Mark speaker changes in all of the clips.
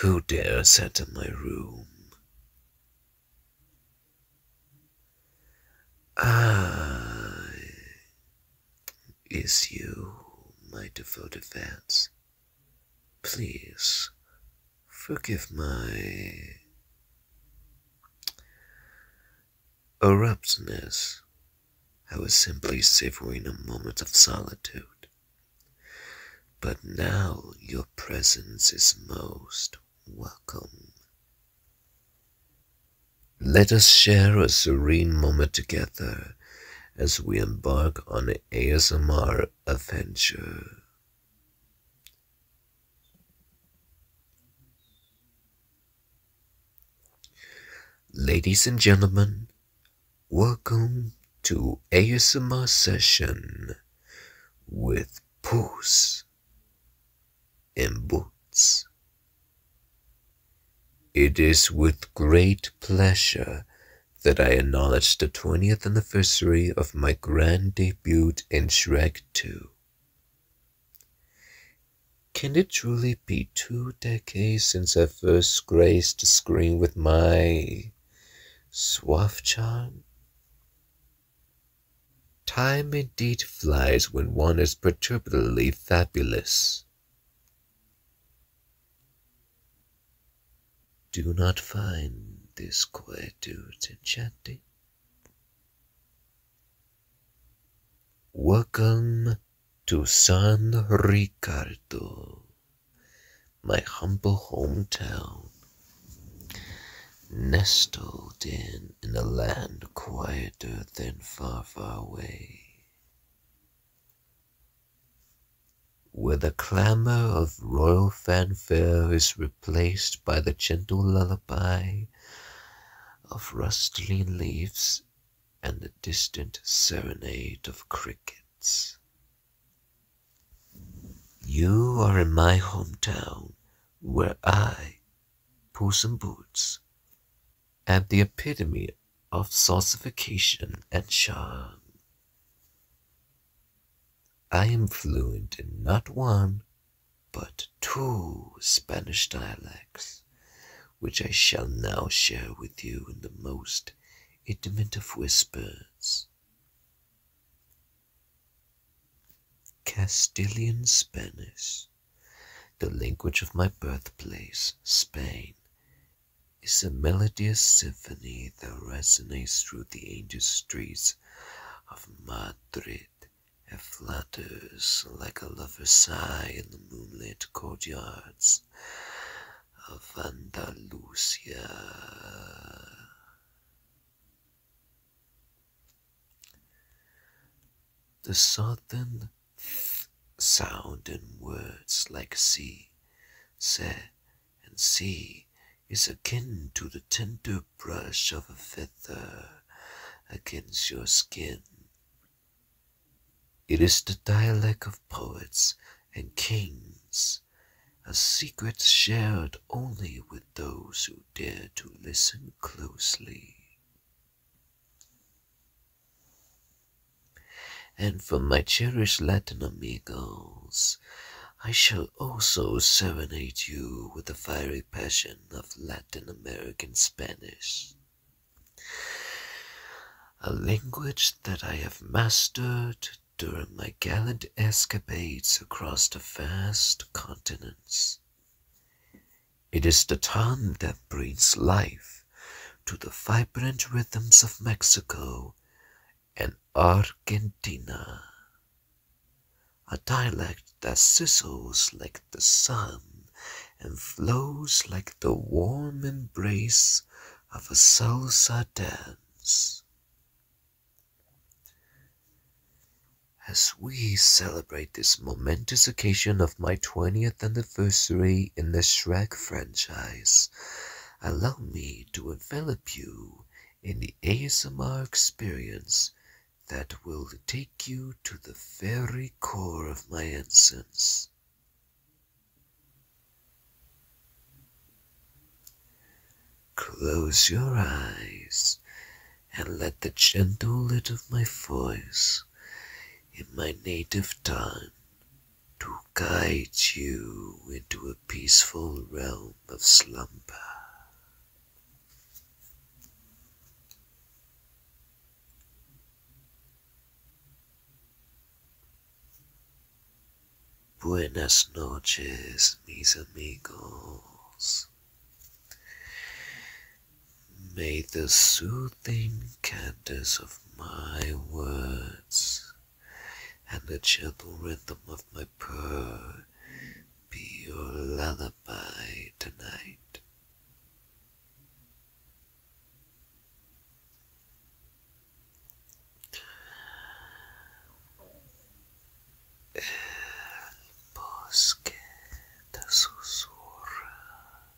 Speaker 1: Who dares enter my room? Ah, is you, my devoted fans. Please forgive my abruptness. I was simply savoring a moment of solitude. But now your presence is most welcome. Let us share a serene moment together as we embark on an ASMR adventure. Ladies and gentlemen, Welcome to ASMR session with Puss and Boots. It is with great pleasure that I acknowledge the 20th anniversary of my grand debut in Shrek 2. Can it truly be two decades since I first graced the screen with my Maybe Swafchan? Time indeed flies when one is perturbably fabulous. Do not find this quietude enchanting. Welcome to San Ricardo my humble hometown, nestled in, in a land quieter than far, far away, where the clamor of royal fanfare is replaced by the gentle lullaby of rustling leaves and the distant serenade of crickets. You are in my hometown, where I, Puss in Boots, and the epitome of saucification and charm. I am fluent in not one, but two Spanish dialects, which I shall now share with you in the most intimate of whispers. Castilian Spanish, the language of my birthplace, Spain, is a melodious symphony that resonates through the ancient streets of Madrid and flutters like a lover's sigh in the moonlit courtyards of Andalusia. The southern th sound in words like sea, se, and sea is akin to the tender brush of a feather against your skin. It is the dialect of poets and kings, a secret shared only with those who dare to listen closely. And for my cherished Latin amigos, I shall also serenade you with the fiery passion of Latin American Spanish. A language that I have mastered during my gallant escapades across the vast continents. It is the tongue that breathes life to the vibrant rhythms of Mexico and Argentina, a dialect that sizzles like the sun and flows like the warm embrace of a salsa dance. As we celebrate this momentous occasion of my 20th anniversary in the Shrek franchise, allow me to envelop you in the ASMR experience that will take you to the very core of my essence. Close your eyes and let the gentle lilt of my voice in my native tongue to guide you into a peaceful realm of slumber. Buenas noches, mis
Speaker 2: amigos.
Speaker 1: May the soothing cadence of my words and the gentle rhythm of my purr be your lullaby tonight.
Speaker 2: El bosque de susurra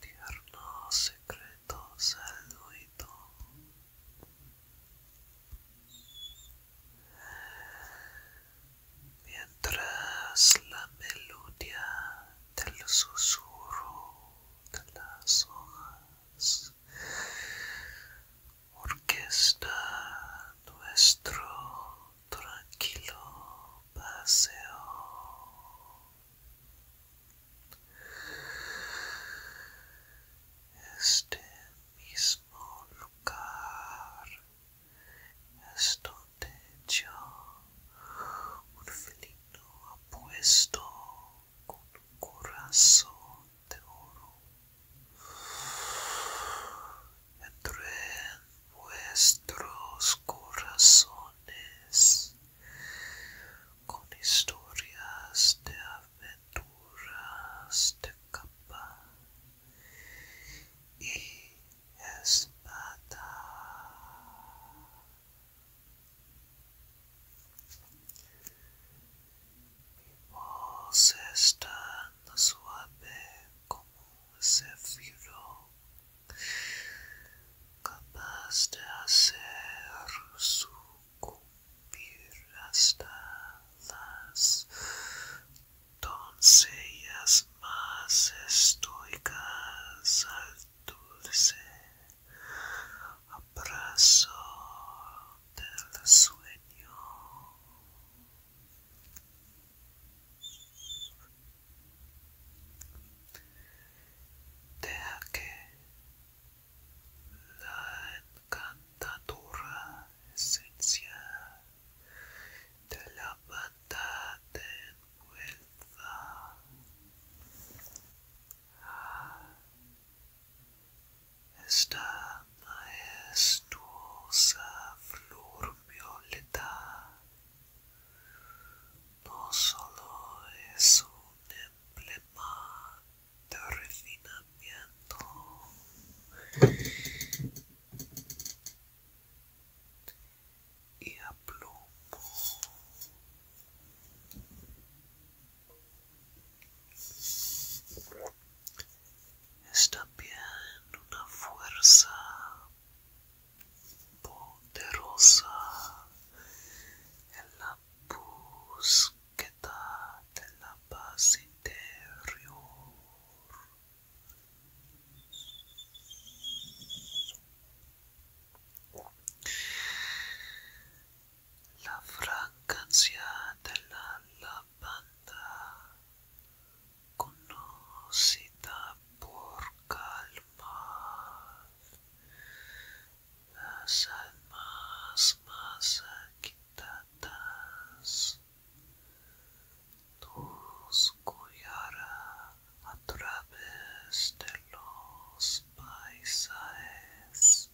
Speaker 2: tierno secreto saludo Mientras la melodía del susurro las hojas orquesta nuestro tranquilo paseo este mismo lugar esto donde yo un feliz apuesto con un corazón de oro. Entré en vuestros corazones con historias de aventuras de capa y espada. Mi voz está suave como un céfiro, capaz de hacer sucumbir hasta las doncellas más estoicas dulce abrazo del sueño. de que la encantadora esencial de la banda esta majestuosa flor violeta no solo es un emblema de refinamiento y aplomo. está también una fuerza poderosa en la búsqueda de la paz interior. La fragancia de la lavanda, conocida por calmar las almas más agitadas, tus a través de los paisajes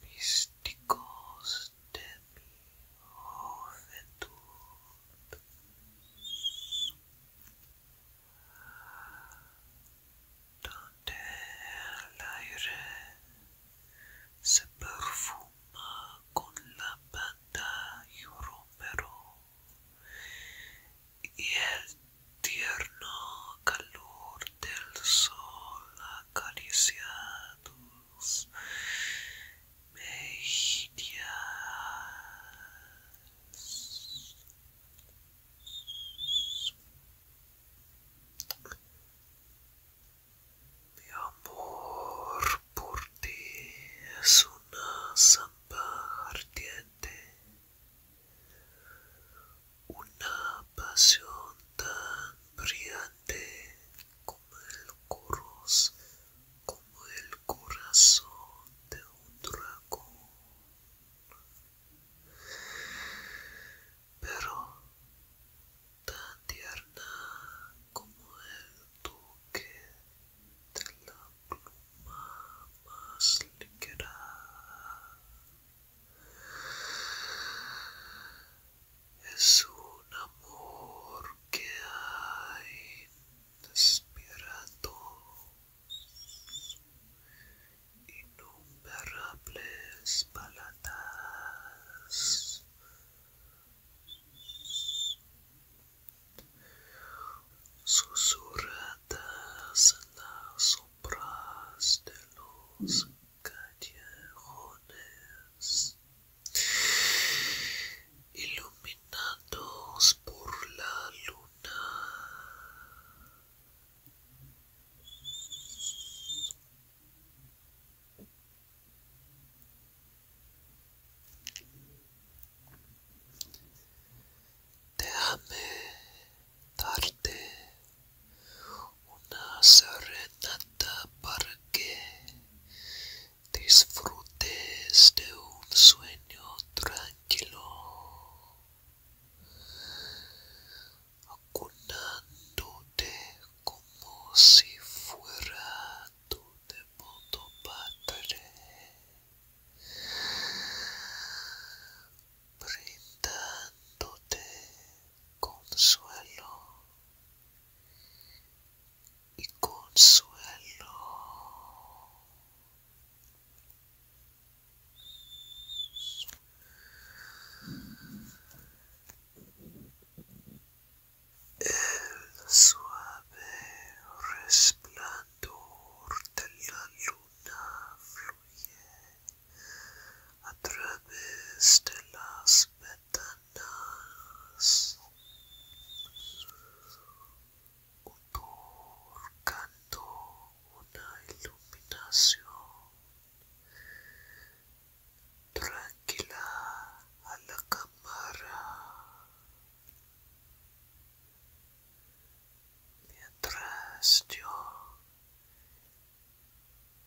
Speaker 2: místicos de mi juventud. Donde el aire se perfuma con la pata y romero y el tierno calor del sol acaricia me mejillas. Mi amor por ti es una samba una pasión tan brillante como el como el corazón de un dragón. Pero tan tierna como el toque de la pluma más ligera. Es un amor que hay despiertos, innumerables palatas susurradas las sombras de los callejones, iluminados por la luna. Déjame darte una serenata para que disfrutes de un sueño tranquilo, acunándote como si fuera tu de punto Padre, brindándote consuelo y consuelo. El suave resplandor de la luna fluye a través de las ventanas otorgando una iluminación tranquila a la cámara mientras yo,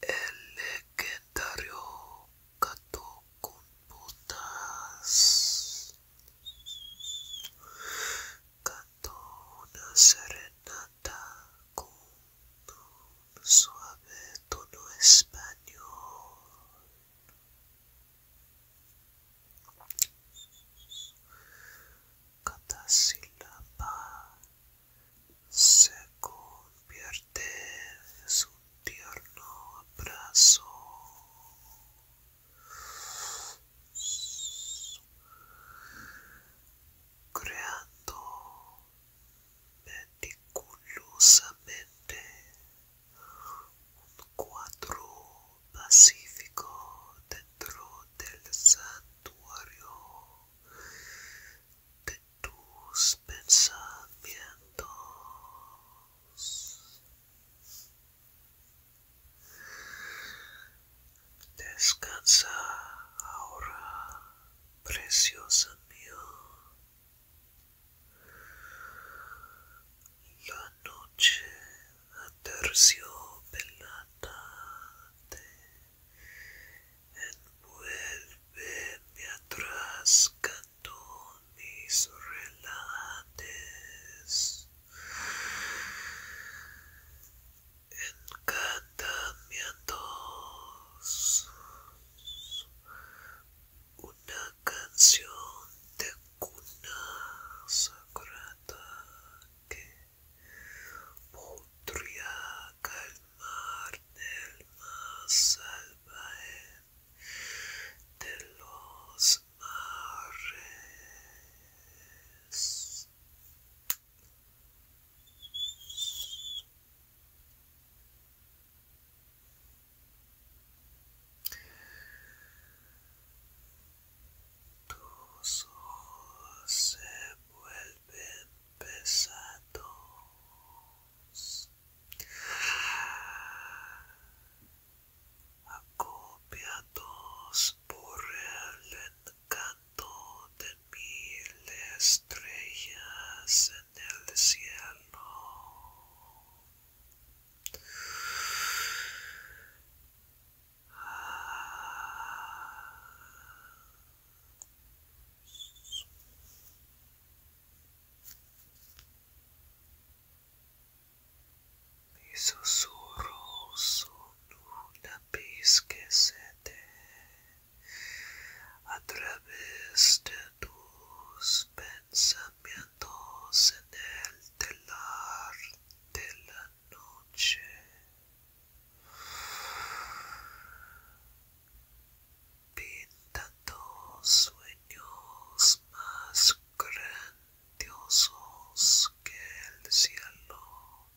Speaker 2: el legendario gato con putas cantó una serenata con un suave tono español. Cada sílaba se convierte en tierno abrazo. Creando meticulosamente un cuadro pacífico dentro del santuario de tus pensamientos. Descansa ahora, preciosa mía. La noche aterciopelada envuelve atrás, canto mis relates. Encantamientos, una canción de cuna sagrada que podría calmar el más salvaje de los mares. Tus ojos se vuelven pesados. Acopiados por el encanto de mil estrellas en el cielo, mis susurros son una pizca que a través de tus pensamientos en el telar de la noche. Pintando sueños más grandiosos que el cielo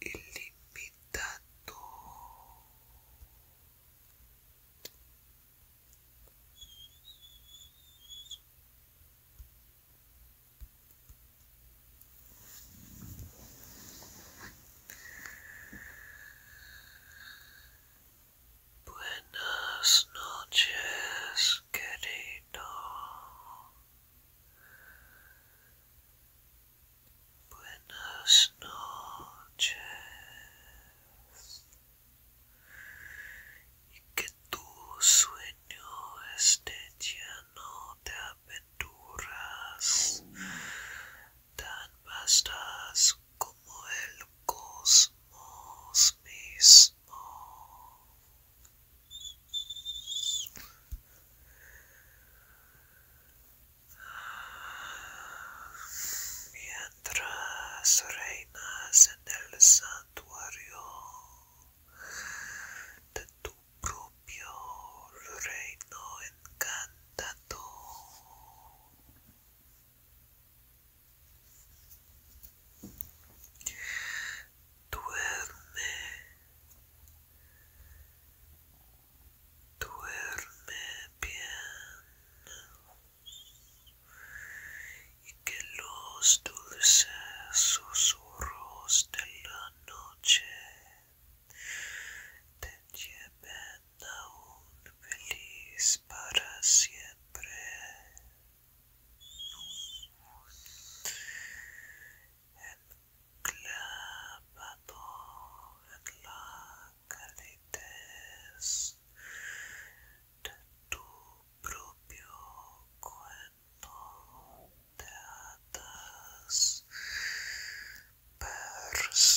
Speaker 2: ilimitado. Buenas noches, querido. Buenas noches. y que tu sueño esté lleno de aventuras tan vastas como el cosmos mismo tras reinas en el santuario de tu propio reino encantado. Duerme, duerme bien y que los dulces susurros de la noche te lleven aún feliz para siempre de tu propio cuento de hadas personal.